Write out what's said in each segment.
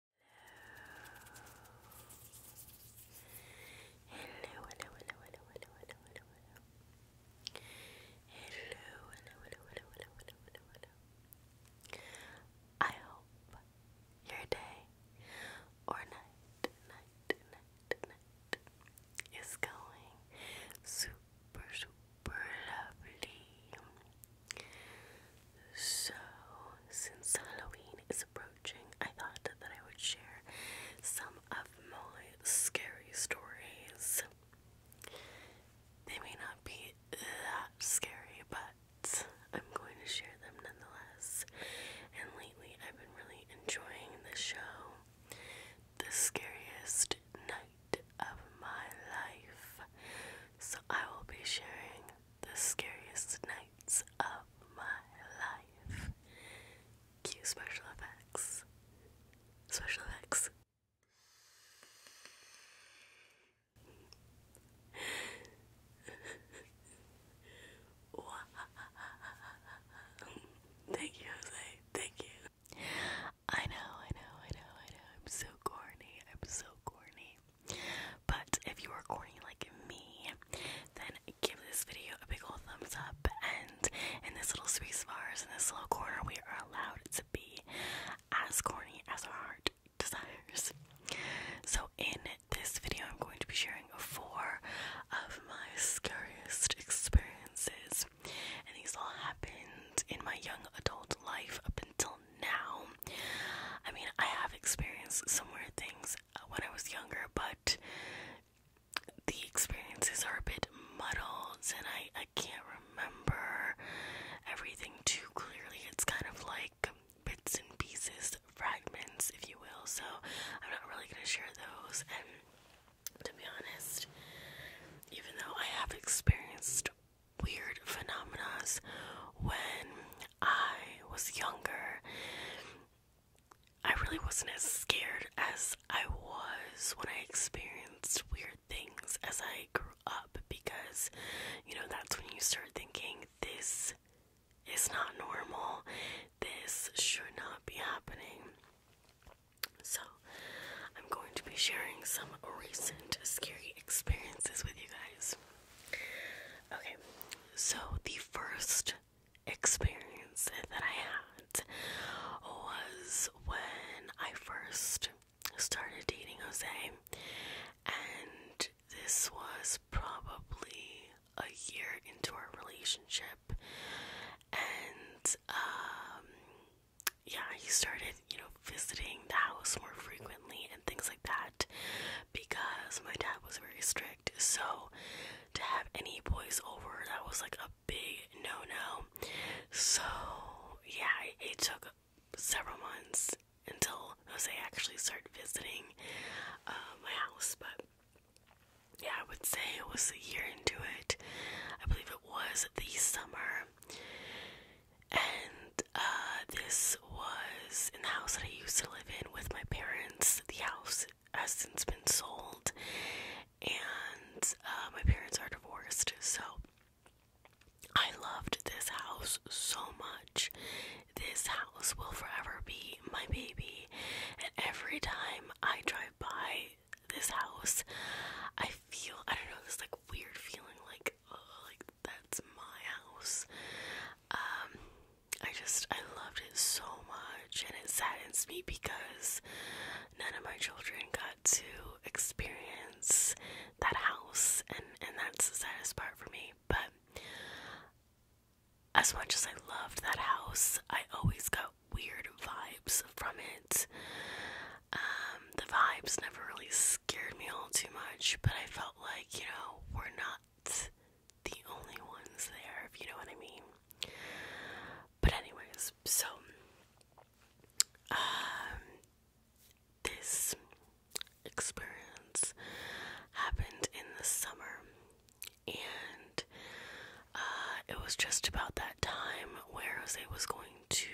hello, hello, hello, hello, hello, hello, hello, hello. Hello, I hope your day or night is going super, super lovely. So, since Halloween is approaching, I thought that I would share some of my scary stories. They may not be that scary, but I'm going to share them nonetheless. And lately, I've been really enjoying the show The Scariest Night of My Life. So, I will be sharing the scariest nights of my life. Cue special effects. Special effects. Thank you, Jose. Thank you. I know, I know, I know, I know. I'm so corny. I'm so corny. But if you are corny like me, then give this video a big ol' thumbs up. And in this little space in this little corner, we are allowed to be as corny as our heart desires. So, in this video, I'm going to be sharing four of my scariest experiences, and these all happened in my young adult life up until now. I mean, I have experienced some weird things when I was younger, but the experiences are a bit muddled and I, I can't remember everything too clearly. It's kind of like bits and pieces, fragments, if you will. So I'm not really going to share those. And to be honest, even though I have experienced weird phenomena when I was younger, I really wasn't as scared as I was when I experienced weird things as I grew up because, you know, that's when you start thinking, this is not normal, this should not be happening. So, I'm going to be sharing some recent scary experiences with you guys. Okay, so the first experience that I had was when I first started dating Jose, and this was probably a year into our relationship, and um, yeah, he started, you know, visiting the house more frequently and things like that because my dad was very strict. So to have any boys over, that was like a big no no. So yeah, it took several months until Jose actually started visiting uh, my house, but yeah, I would say it was a year into it. I believe it was the summer, and uh, this was in the house that I used to live in with my parents. The house has since been sold, and uh, my parents are divorced. So I loved this house so much. This house will forever be my baby, and every time I drive by this house, I feel I don't know this like weird feeling like like that's my house. Um, I just I loved it so much, and it saddens me because none of my children got to experience that house, and and that's the saddest part for me. But as much as I loved that house, I always got weird vibes from it. Um, the vibes never really scared me all too much, but I felt like, you know, we're not the only ones there, if you know what I mean. But, anyways, so, um, this experience happened in the summer, and uh, it was just about that time where Jose was going to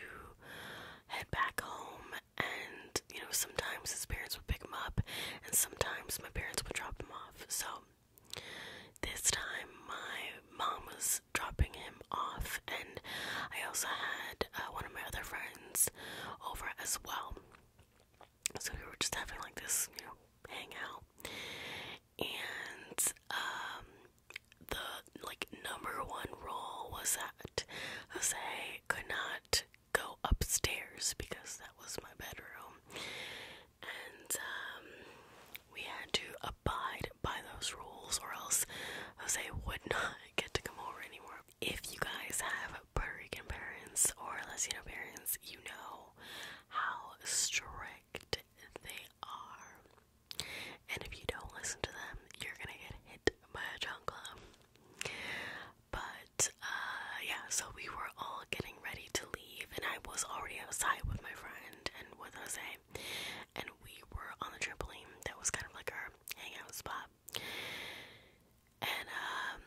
head back home, and you know, sometimes his parents pick him up, and sometimes my parents would drop him off. So this time, my mom was dropping him off, and I also had uh, one of my other friends over as well. So we were just having like this, you know, hangout, and um, the like number one rule was that I Jose could not go upstairs because that was my bedroom. And um, we had to abide by those rules, or else Jose would not get to come over anymore. If you guys have Puerto Rican parents or Latino parents, you know how strict they are. And if you don't listen to them, you're gonna get hit by a chancla. But uh, yeah, so we were all getting ready to leave, and I was already outside with my friend and with Jose, and we were on the trampoline that was kind of like our hangout spot. And um,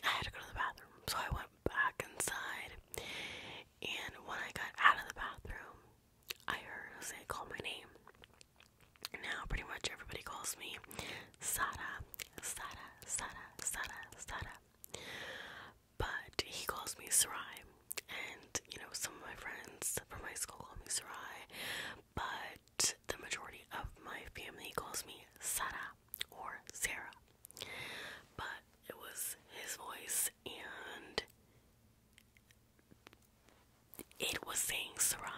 I had to go to the bathroom, so I went back inside. And when I got out of the bathroom, I heard Jose call my name. Now, pretty much everybody calls me Sada Sara, Sara, Sara, Sara. But he calls me Sarai, and you know, some of my friends from my school call me Sarai, but the majority of my family calls me Sara or Sarah. But it was his voice, and it was saying Sarai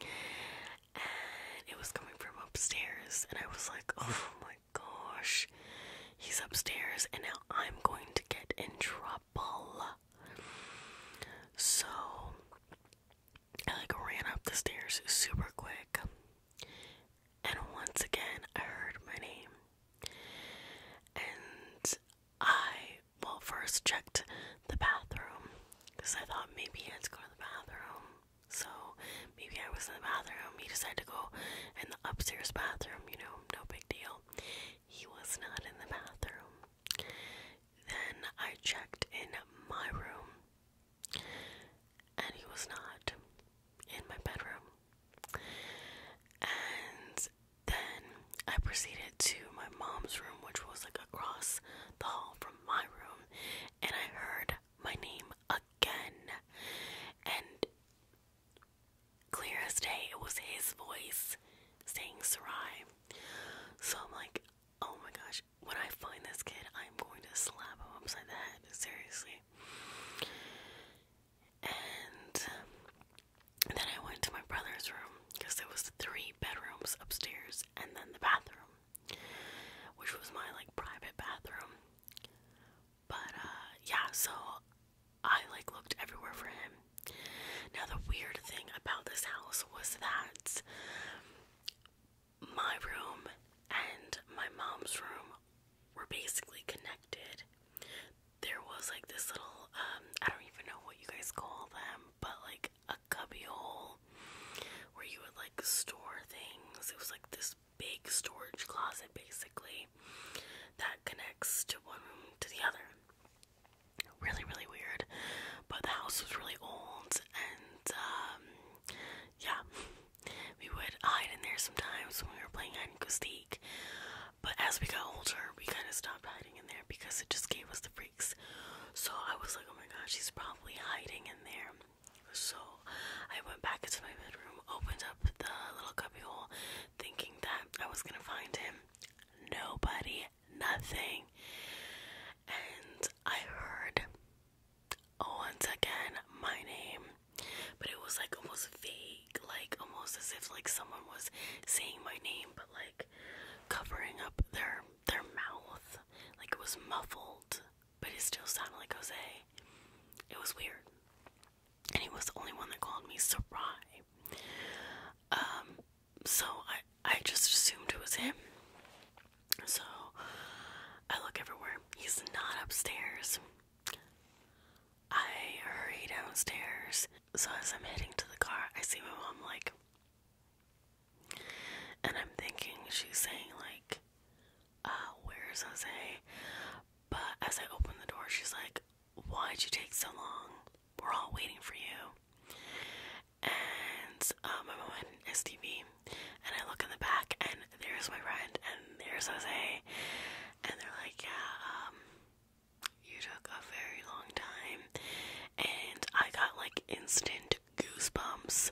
and it was coming from upstairs, and I was like, oh my gosh, he's upstairs, and now I'm going to get in trouble. So I like ran up the stairs super quick, and once again, I heard my name. And I, well, first checked the bathroom because I thought maybe I had to go to the bathroom. So maybe I was in the bathroom. He decided to go in the upstairs bathroom, you know, no big deal. He was not in the bathroom. Then I checked in my room and he was not in my bedroom. And then I proceeded to my mom's room, which was like across the hall from my room, and I heard my name again. And clear as day, it was his voice saying Sarai. So I'm like, oh my gosh, when I find this kid, I'm going to slap him upside the head. Seriously. And then I went to my brother's room because there was three bedrooms upstairs and then the bathroom which was my like private bathroom. But uh yeah, so I like looked everywhere for him. Now the weird thing about this house was that my room and my mom's room were basically connected. There was like this little um I don't even know what you guys call them, but like a cubby hole where you would like store things. It was like this big storage closet basically that connects to one room to the other. Really, really weird. But the house was really old and um, yeah. We would hide in there sometimes when we were playing hide and go seek. But as we got older, we kind of stopped hiding in there because it just gave us the freaks. So I was like, oh my gosh, she's probably hiding in there. So I went back into my bedroom, opened up the little cubbyhole, thinking that I was gonna find him. Nobody, nothing. And I heard once again my name, but it was like almost vague, like almost as if like someone was saying my name, but like covering up their their mouth, like it was muffled but it still sounded like Jose. It was weird. And he was the only one that called me Sarai. Um, so I, I just assumed it was him. So I look everywhere. He's not upstairs. I hurry downstairs. So as I'm heading to the car, I see my mom like, and I'm thinking she's saying like, Ah, where's Jose? But as I open the door, she's like, Why'd you take so long? We're all waiting for you. And uh, my mom had an and I look in the back, and there's my friend, and there's Jose, and they're like, Yeah, um, you took a very long time, and I got like instant goosebumps.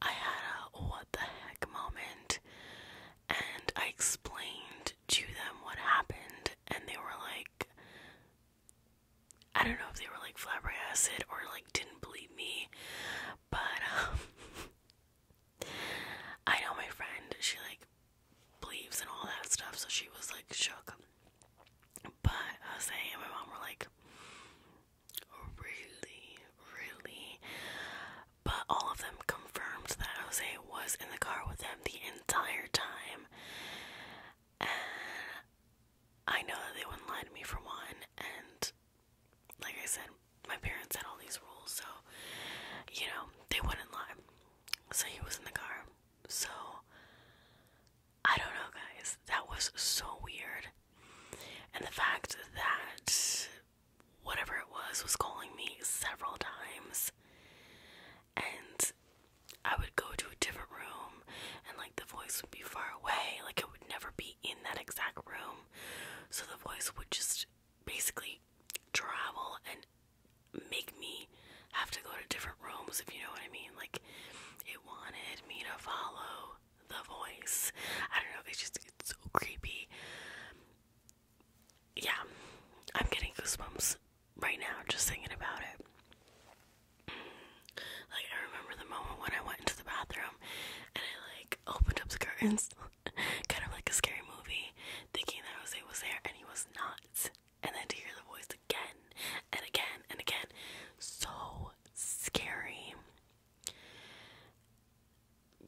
I had a what the heck moment, and I explained to them what happened, and they were like, I don't know if they were like flabbergasted or like didn't believe me, but um, I know my friend, she like believes and all that stuff, so she was like shook. But I uh, Jose and my mom were like, really, really. But all of them confirmed that Jose was in the car with them the entire time. I know they wouldn't lie to me for one. And like I said, my parents had all these rules, so you know, they wouldn't lie. So he was in the car. So I don't know, guys. That was so weird. And the fact that whatever it was was calling me several times, and I would go to a different room, and like the voice would be far away, like it would never be in that exact room. So the voice would just basically travel and make me have to go to different rooms, if you know what I mean. Like, it wanted me to follow the voice. I don't know, it's just it's so creepy. Yeah, I'm getting goosebumps right now just thinking about it. Like I remember the moment when I went into the bathroom and I like opened up the curtains, kind of like a scary movie, thinking that Jose was there and he was not. And then to hear the voice again and again and again, so scary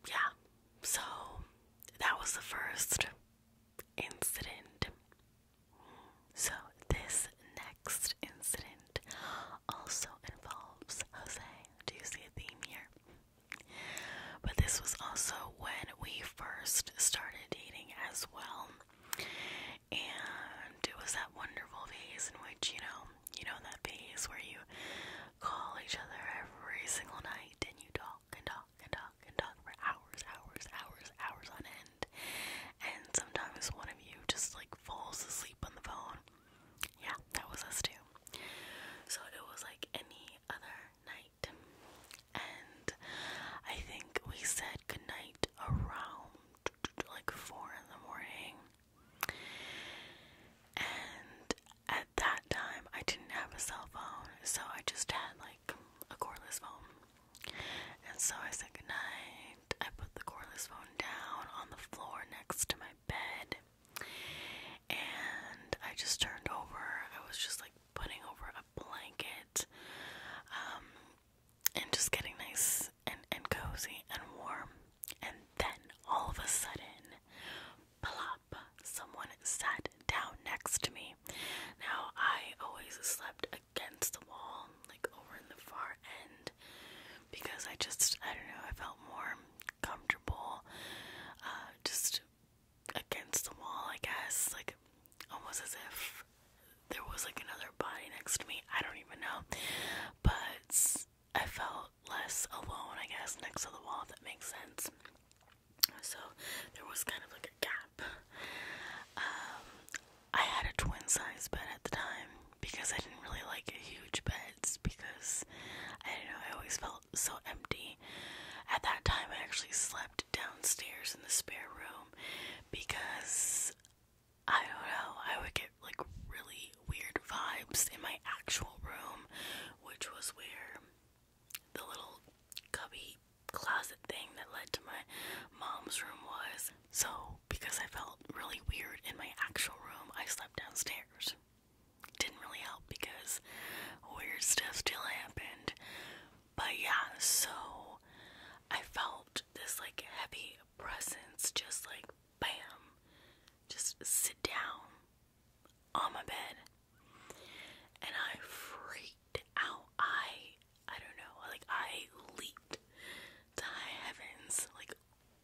yeah, so that was the first incident. So, this next incident also involves Jose. Do you see a theme here? But this was also when we first started dating as well. And it was that wonderful phase in which, you know, you know, that phase where you call each other every single night and you talk and talk and talk and talk for hours, hours, hours, hours on end. And sometimes one of you just like falls asleep on the phone. Yeah, that was us too. So it was like any other night. And I think we said goodnight around like four in the morning. And at that time, I didn't have a cell phone, so I just had like a cordless phone. And so I said goodnight. I put the cordless phone down on the floor next to my bed. And I just turned over. I was just like putting over a blanket um, and just getting nice and, and cozy and warm. And then all of a sudden, plop, someone sat down next to me. Now, I always slept against the wall, like over in the far end, because I just, I don't know, I felt more comfortable uh, just against the wall, I guess. Like, almost as if there was like another body next to me. I don't even know. But I felt less alone, I guess, next to the wall, if that makes sense. So there was kind of like a gap. Um, I had a twin size bed at the time because I didn't really like huge beds because I don't know, I always felt so empty. At that time, I actually slept downstairs in the spare room because I don't know, I would get like really weird vibes in my actual room, which was where the little cubby closet thing that led to my mom's room was. So, because I felt really weird in my actual room, I slept downstairs. Didn't really help because weird stuff still happened. But yeah, so I felt this like heavy presence just like bam, just sit down on my bed and I freaked out. I I don't know, like I leaped to high heavens, like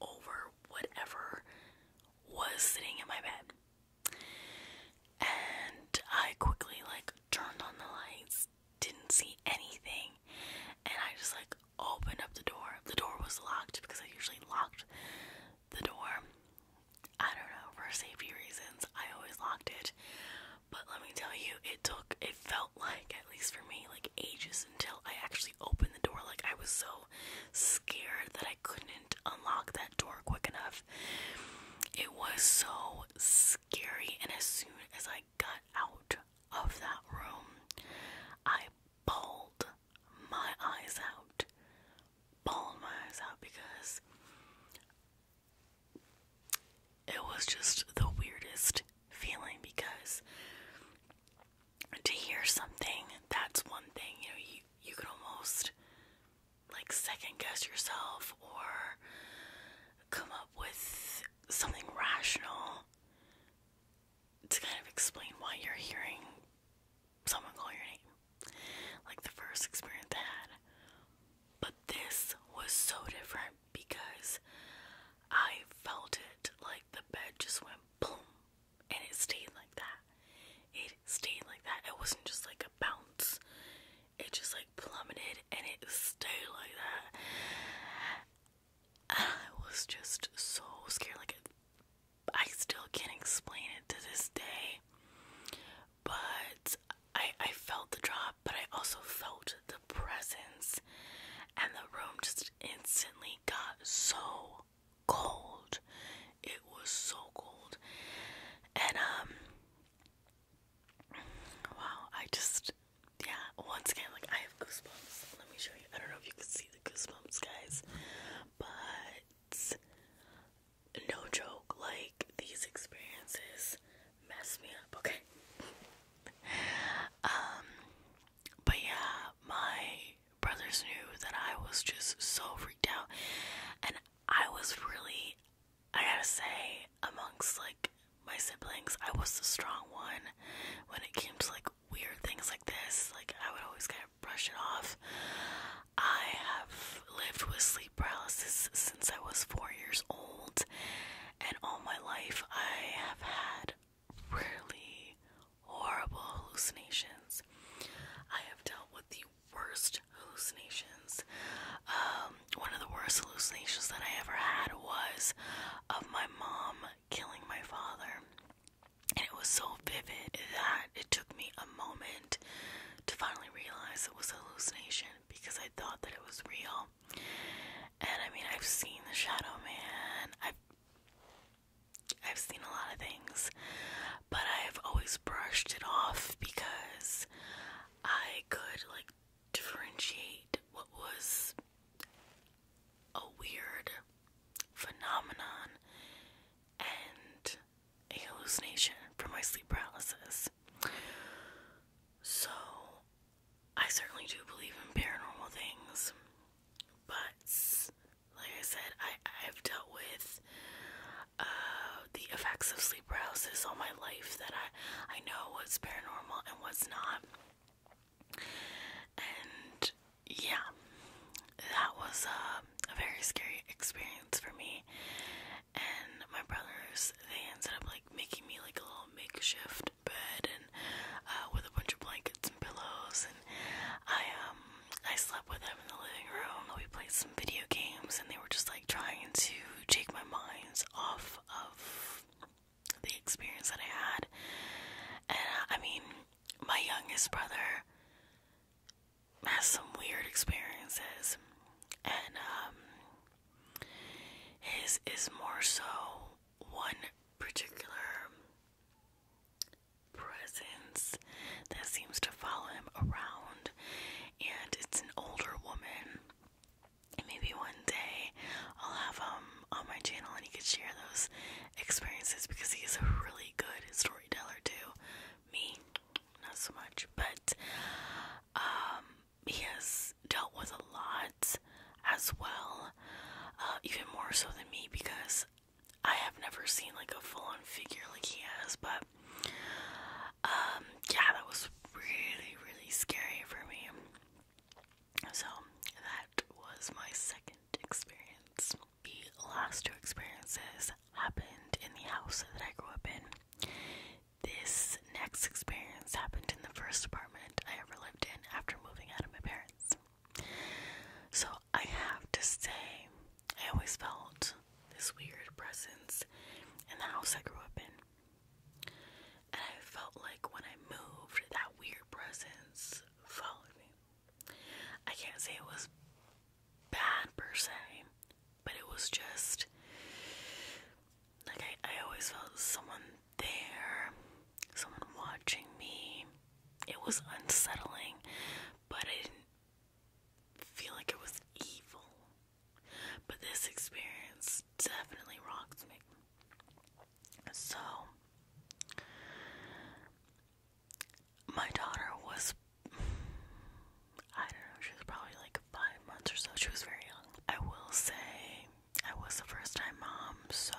over whatever was sitting in my bed. And I quickly like turned on the lights, didn't see anything, and I just like opened up the door. The door was locked because I usually locked the door. I don't know, for safety reasons, I always locked it. But let me tell you, it took, it felt like, at least for me, like ages until I actually opened the door. Like, I was so scared that I couldn't unlock that door quick enough. It was so scary, and as soon as I got out of that room, I bawled my eyes out, bawled my eyes out because it was just the weirdest feeling because to hear something that's one thing you know you you could almost like second guess yourself or come up with something rational to kind of explain why you're hearing someone call your name. Like the first experience I had. But this was so different because I felt it like the bed just went boom and it stayed like that. It stayed like that. It wasn't just like a bounce. It just like plummeted and it stayed like that. I was just so scared. Like it I still can't explain it to this day. But I I felt the drop, but I also felt the presence and the room just instantly got so cold. It was so cold. And um wow, I just yeah, once again like I have goosebumps. Let me show you. I don't know if you can see the goosebumps guys, but no joke, like these experiences mess me up, okay? um, but yeah, my brothers knew that I was just so freaked out, and I was really, I gotta say, amongst like my siblings, I was the strong one when it came to like weird things like this. Like, I would always brush it off. I have lived with sleep paralysis since I was four years old, and all my life I have had really horrible hallucinations. I have dealt with the worst hallucinations. Um, one of the worst hallucinations that I ever had was of my mom killing my father. And it was so vivid that it took me a moment to finally realize it was a hallucination because I thought that it was real. And I mean, I've seen The Shadow Man. I've I've seen a lot of things, but I've always brushed it off because I could like differentiate what was a weird phenomenon and a hallucination from my sleep paralysis. So, I certainly do believe in paranormal things, but like I said, I, I've dealt with uh, the effects of sleep paralysis all my life that I, I know what's paranormal and what's not. And yeah, that was uh, a very scary experience for me. And my brothers, they ended up like making me like a little makeshift bed and uh, with a bunch of blankets and pillows. And I um I slept with them in the living room. We played some video games, and they were just like trying to take my mind off of the experience that I had. And uh, I mean, my youngest brother has some weird experiences, and um, his is more so one particular presence that seems to follow him around, and it's an older woman. maybe one day I'll have him on my channel and he could share those experiences because he is a really good storyteller, too me not so much but um he has dealt with a lot as well uh, even more so than me because i have never seen like a full-on figure like he has but um yeah that was really really scary for me so that was my second experience the last two experiences happened in the house that I grew up in. This next experience happened in the first apartment I ever lived in after moving out of my parents. So I have to say, I always felt this weird presence in the house I grew up in. And I felt like when I moved, that weird presence followed me. I can't say it was bad per se, but it was just like I, always felt someone there, someone watching me. It was unsettling, but I didn't feel like it was evil. But this experience definitely rocks me. So, my daughter was, I don't know, she was probably like five months or so. She was very young. I will say I was the first time mom, so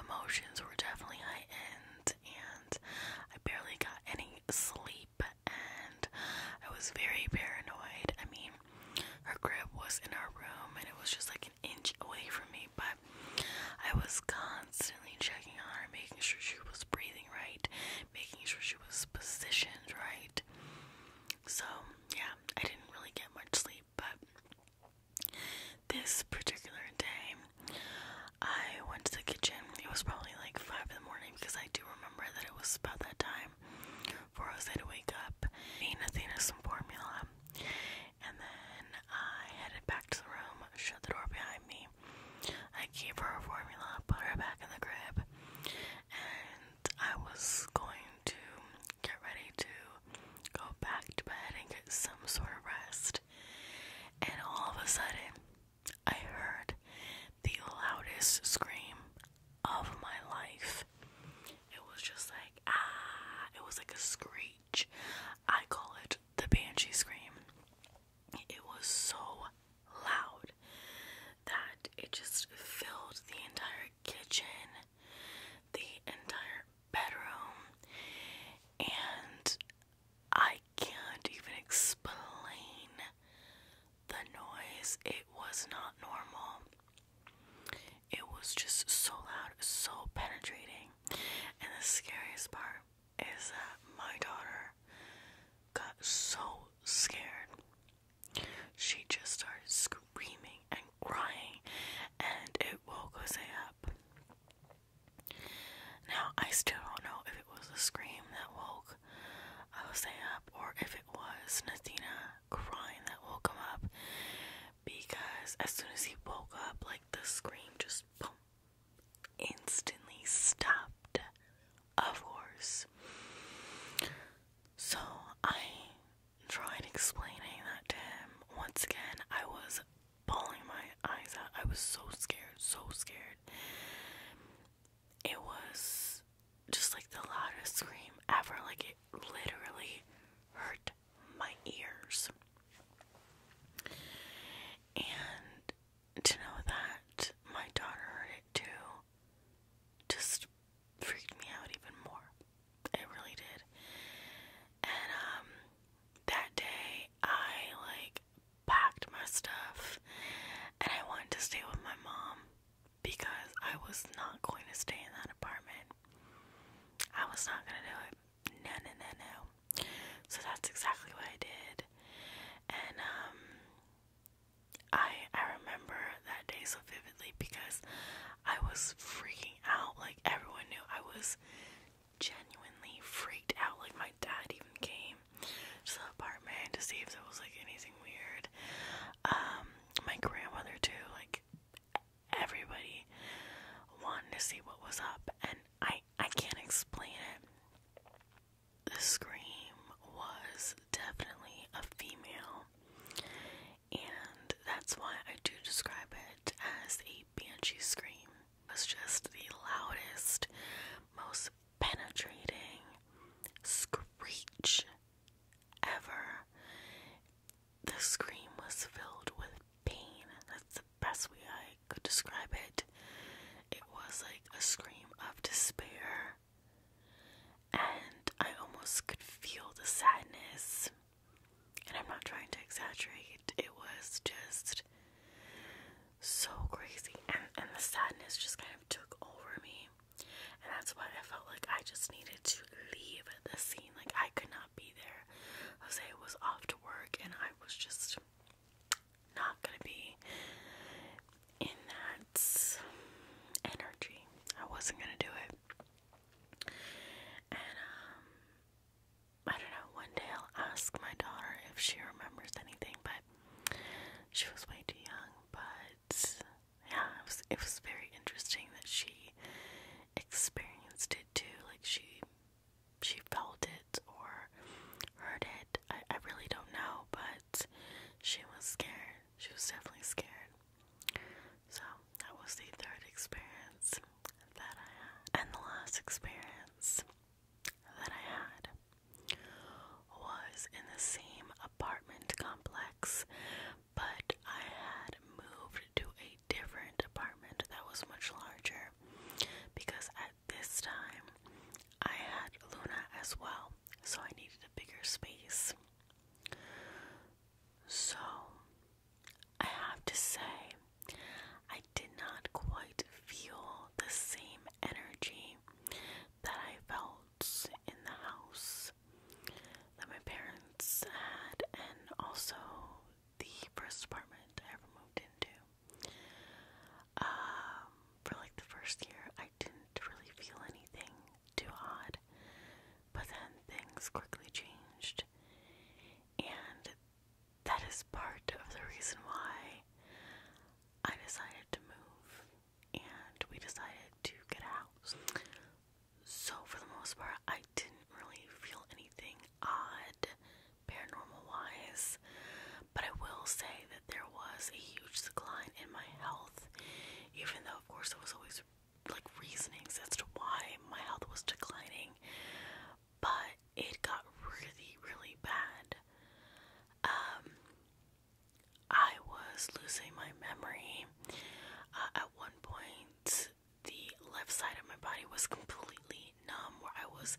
emotions were definitely heightened, and I barely got any sleep, and I was very paranoid. I mean, her crib was in our room, and it was just like an inch away from me, but I was constantly checking on her, making sure she was breathing right, making sure she was positioned right. So, yeah, I didn't really get much sleep, but this particular day, I went to the kitchen. It was probably like 5 in the morning because I do remember that it was about that time for Jose to wake up, and Athena some formula, and then I headed back to the room, shut the door behind me, I gave her a formula, put her back in the crib, and I was going to get ready to go back to bed and get some sort of rest. And all of a sudden, I heard the loudest scream of my life. It was just like, ah, it was like a screech. I call it the banshee scream. It was so loud that it just filled the entire kitchen, the entire bedroom, and I can't even explain the noise. It was not normal. It was just so loud, so penetrating. And the scariest part is that my daughter got so scared. She just started screaming and crying, and it woke Jose up. Now, I still don't know if it was a scream that woke Jose up or if it was Nathina crying that woke him up because as soon as he woke up, like the scream just instantly stopped, of course. So I tried explaining that to him. Once again, I was bawling my eyes out. I was so scared, so scared. It was just like the loudest scream ever. Like it literally hurt my ears. And to know that my daughter too just freaked me out even more. It really did. And um that day I like packed my stuff and I wanted to stay with my mom because I was not going to stay in that apartment. I was not gonna do it. No no no no. So that's exactly what I did. And um I I remember that day so vividly because I was freaking out. Like everyone knew I was genuinely freaked out. Like my dad even came to the apartment to see if there was like anything weird. Um my grandmother too, like everybody wanted to see what was up and I I can't explain it the scream was definitely a female, and that's why I do describe it as a banshee scream. It was just the loudest, most penetrating screech ever. The scream was filled with pain. That's the best way I could describe it, it was like a scream of despair. And I almost could feel the sadness. And I'm not trying to exaggerate, it was just so crazy. And, and the sadness just kind of took over me. And that's why I felt like I just needed to leave the scene. Like I could not be there. Jose was off to work, and I was just not gonna be in that energy. I wasn't gonna do it. And um, I don't know, one day I'll ask my daughter if she remembers anything, but she was way too young. But yeah, it was very interesting that she experienced it too. Like she she felt it or heard it I, really don't know, but she was scared. She was definitely scared. So that was the third experience that I had. And the last experience that I had was in the same apartment complex, but I had moved to a different apartment that was much larger because I this time I had Luna as well, so I needed a bigger space. So I have to say, I did not quite feel the same energy that I felt in the house that my parents had, and also the first apartment I ever moved into. Um, for like the first year, I didn't really feel anything too odd, but then things quickly changed, and that is part of the reason why I decided to move and we decided to get a house. So, for the most part, I didn't really feel anything odd paranormal wise. But I will say that there was a huge decline in my health, even though, of course, there was always like reasonings as to why my health was declining. But it got really, really bad. Um, I was losing my memory. Uh, at one point, the left side of my body was completely numb, where I was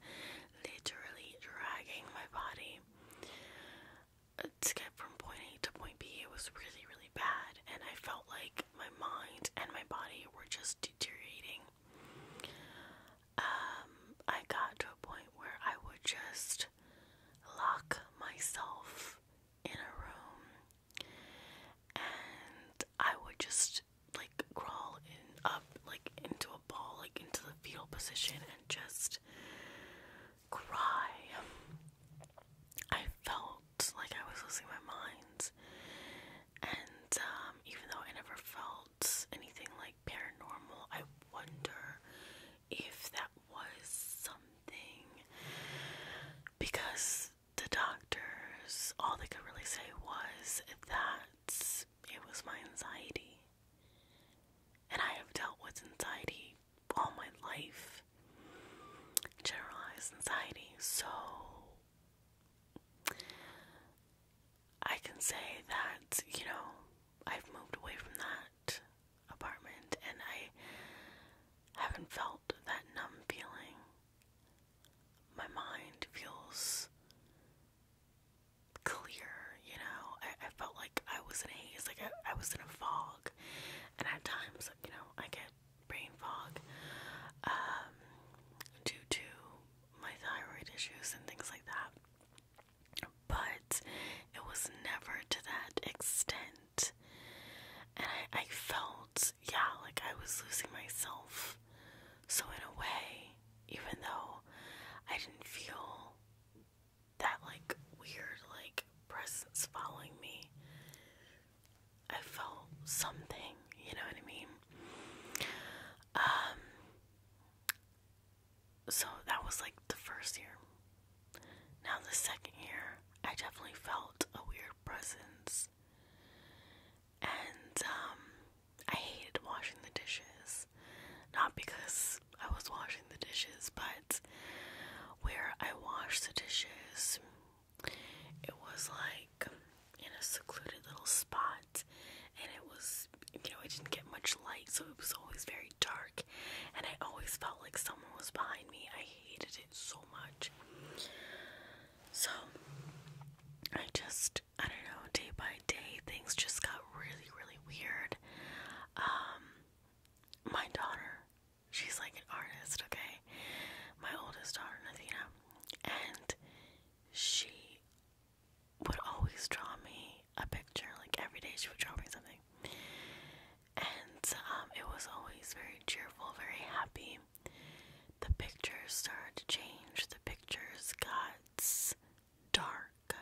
literally dragging my body to get from point A to point B, it was really, really bad, and I felt like my mind and my body were just deteriorating. Um, I got to a point where I would just lock myself in a room and I would just like crawl in up like into a ball like into the fetal position and just cry. I felt like I was losing my mind. And um, even though I never felt anything like paranormal, I wonder if that was something. Because the doctors, all they could really say was that it was my anxiety and I have dealt with anxiety all my life. Generalized anxiety, so I can say that, you know, I've moved away from that apartment and I haven't felt that numb feeling. My mind feels clear, you know. I, felt like I was in a haze, like I, was in a fog. And at times, you know, I get brain fog um, due to my thyroid issues and things like that. But it was never to that extent. And I felt, yeah, like I was losing myself. So, in a way, even though I didn't feel that like weird like presence following me. I felt something, you know what I mean? Um so that was like the first year. Now the second year, I definitely felt a weird presence. And um I hated washing the dishes. Not because I was washing the dishes, but where I washed the dishes, it was like in a secluded little spot, and it was, you know, it didn't get much light, so it was always very dark, and I always felt like someone was behind me. I hated it so much. So, I just, I don't know, day by day, things just got really, really weird. Um, my daughter, she's like an artist, okay? My oldest daughter, Nathina, and she would always draw me a picture. Like every day, she would draw me something. And um, it was always very cheerful, very happy. The pictures started to change. The pictures got dark,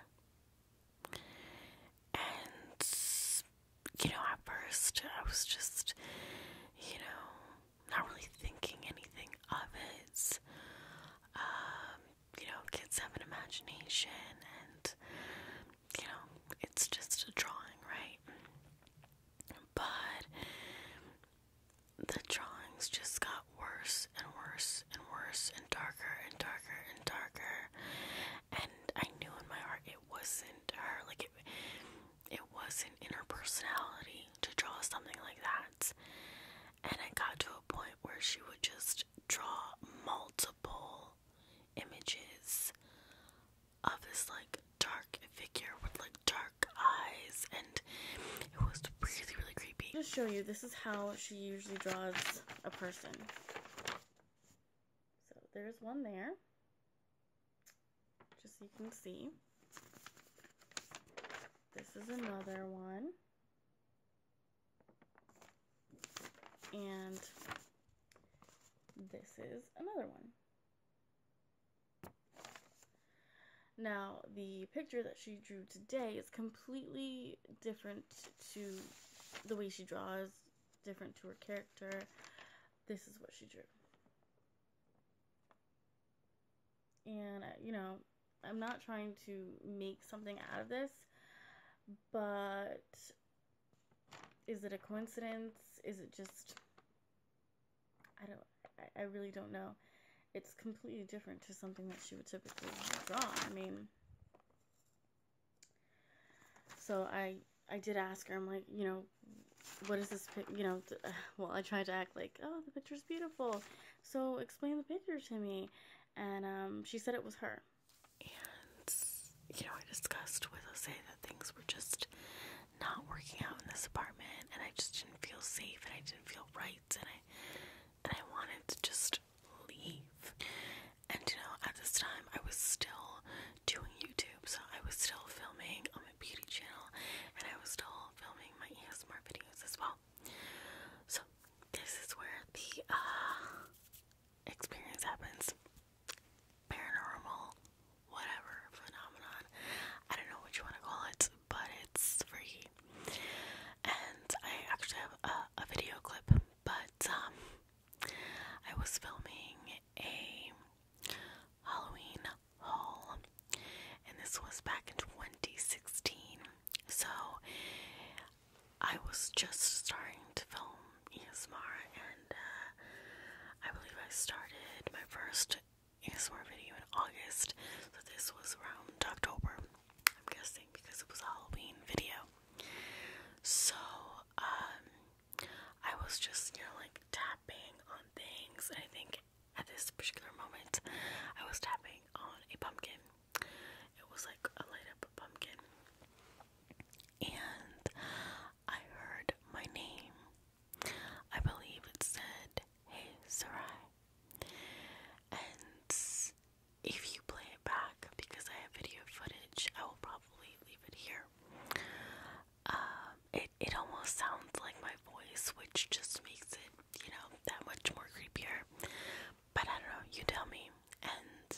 and, you know, at first I was just, you know, not really thinking anything of it. Um, you know, kids have an imagination and, you know, it's just a drawing, right? But the drawings just got worse and worse and worse and darker and darker and darker. And I knew in my heart it wasn't her. Like it, it wasn't in her personality to draw something like that. And I got to a point where she would just draw multiple images of this like dark figure with like dark eyes and it was really really creepy. Just show you this is how she usually draws a person. So there's one there, just so you can see. This is another one. And this is another one. Now, the picture that she drew today is completely different to the way she draws, different to her character. This is what she drew. And, uh, you know, I'm not trying to make something out of this, but is it a coincidence? Is it just. I don't. I really don't know. It's completely different to something that she would typically draw. I mean, so I I did ask her. I'm like, you know, what is this? picture? You know, well, I tried to act like, oh, the picture's beautiful. So explain the picture to me, and um, she said it was her. And you know, I discussed with Jose that things were just not working out in this apartment, and I just didn't feel safe, and I didn't feel right, and I and I wanted to just leave. And you know, at this time I was still doing YouTube, so I was still filming on my beauty channel and I was still filming my ASMR videos as well. So this is where the uh, experience happens. Paranormal whatever phenomenon. I don't know what you want to call it, but it's freaky. And I actually have a video clip, but um, I was filming a Halloween haul, and this was back in 2016. So I was just starting to film ASMR, and uh, I believe I started my first ASMR video in August. So this was around October, I'm guessing because it was a Halloween video. So, um, I was just, you know, like tapping on things. I think at this particular moment, I was tapping on a pumpkin. It was like a light up pumpkin. And I heard my name. I believe it said, Hey, Sarai. And if you play it back, because I have video footage, I will probably leave it here. Um, it it almost sounds like my voice, which just makes it, you know, that much more creepier. But I don't know. You tell me. And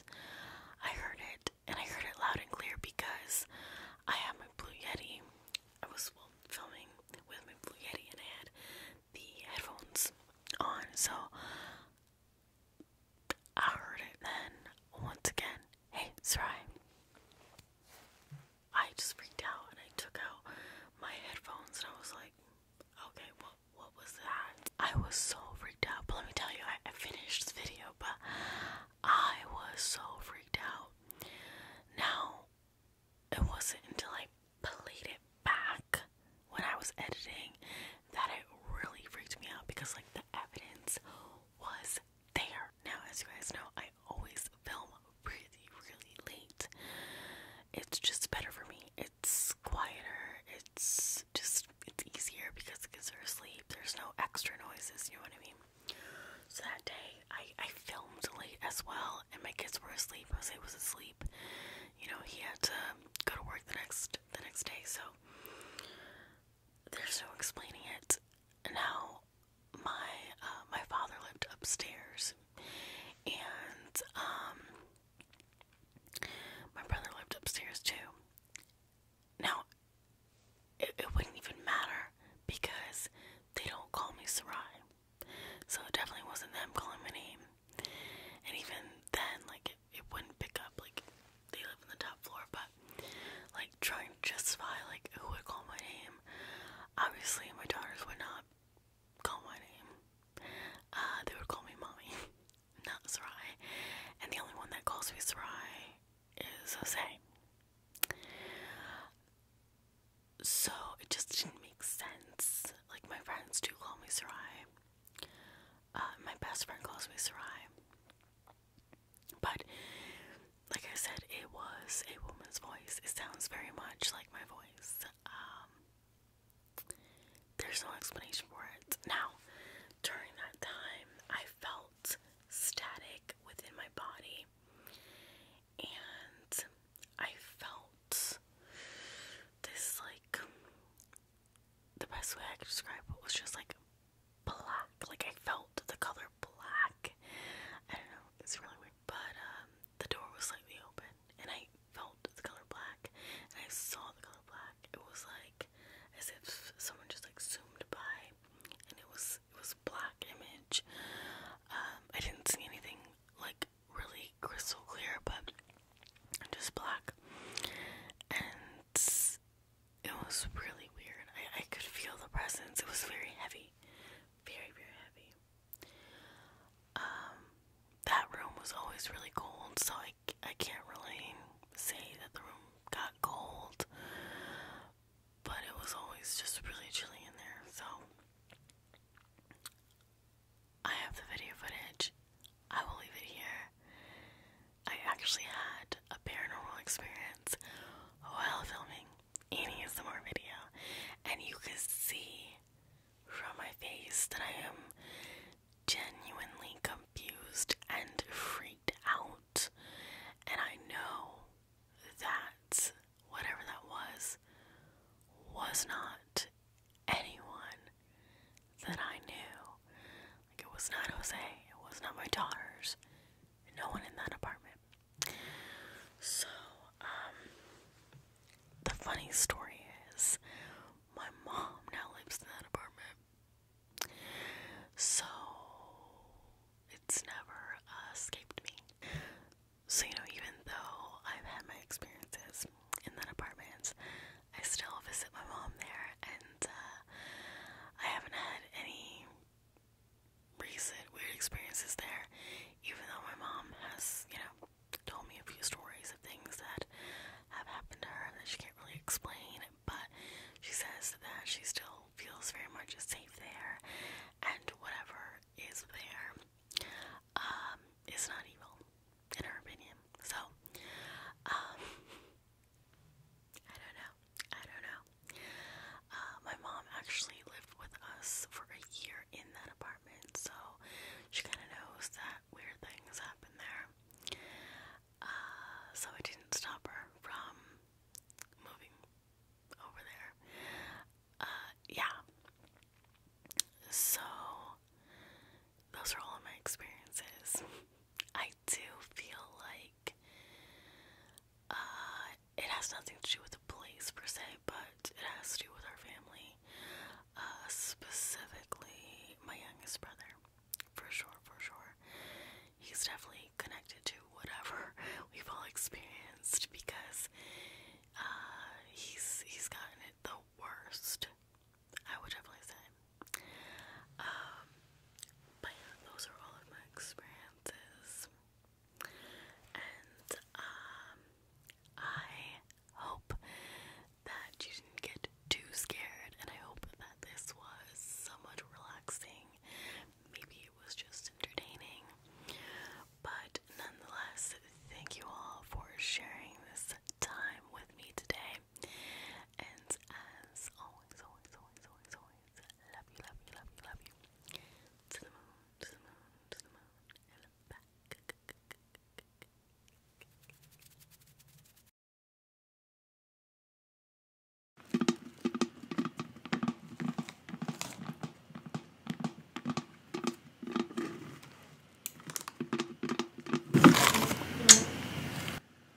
I heard it, and I heard it loud and clear because I have my Blue Yeti. I was filming with my Blue Yeti, and I had the headphones on, so I heard it then once again. Hey, Sarai. I just freaked out and I took out my headphones and I was like, okay, what what was that? I was so freaked out. But let me tell you, I, I finished this video, but I was so freaked out. Now it wasn't until I played it back when I was editing that it really freaked me out because like the evidence was there. Now as you guys know, I always film really, really late. It's just better for me. It's quieter. It's just it's easier because the kids are asleep. There's no extra noises, you know what I mean? So that day I, I filmed late as well and my kids were asleep. Jose was asleep. You know, he had to go to work the next breakfast the next day, so there's no explaining it. Now, my uh, my father lived upstairs, and um, my brother lived upstairs too. Now, it, it wouldn't even matter because they don't call me Sarai, so it definitely wasn't them calling my name. And even then, like it, wouldn't pick up. Like, they live on the top floor, but like trying to justify like who would call my name. Obviously, my daughters would not call my name. Uh, they would call me mommy, not Sarai. And the only one that calls me Sarai is Jose. So it just didn't make sense. Like my friends do call me Sarai. Uh, my best friend calls me Sarai. But, like I said, it was a woman's voice. It sounds very much like my voice. Um, there's no explanation for it. Now, during that time, I felt static within my body. And I felt this, like, the best way I could describe it was just like black. Like I felt the color black. I don't know, it's really weird. But um, the door was slightly open and I felt the color black and I saw the color black. It was like as if someone just like zoomed by and it was it was black image. Um I didn't see anything like really crystal clear but just black and it was really weird. I, I could feel the presence. It was very heavy. Very, very heavy. Um, that room was always really cold, so I, I can't really say that the room got cold. But it was always just really chilly in there, so. I have the video footage. I will leave it here. I actually had a paranormal experience while filming any of the more video, and you can see from my face that I am genuinely confused and freaked out. And I know that whatever that was was not anyone that I knew. Like, it was not Jose, it was not my daughters, no one in that apartment. So, um, the funny story is my mom now lives in that apartment. So, it's never escaped me. So, you know, even though I've had my experiences in that apartment, I still visit my mom there, and uh, I haven't had any recent weird experiences there, even though my mom has, you know, told me a few stories of things that have happened to her that she can't really explain, but she says that she still feels very much safe there, and whatever is there um, is not evil, in her opinion. So, um, I don't know. I don't know. Uh, my mom actually lived with us for a year in that apartment, so she kind of knows that weird things happen there. Uh, so it didn't stop her from moving over there. Uh, yeah. So those are all my experiences. I do feel like uh, it has nothing to do with the place per se, but it has to do with our family, uh, specifically my youngest brother, for sure, for sure. He's definitely connected to whatever we've all experienced because uh, he's he's gotten it the worst I would definitely say. Um, but those are all of my experiences. And um, I hope that you didn't get too scared, and I hope that this was somewhat relaxing. Maybe it was just entertaining. But nonetheless, thank you all for sharing this time with me today. And as always, always, always, always, always, love you, love you, love you, love you. To the moon, to the moon, to the moon, and back.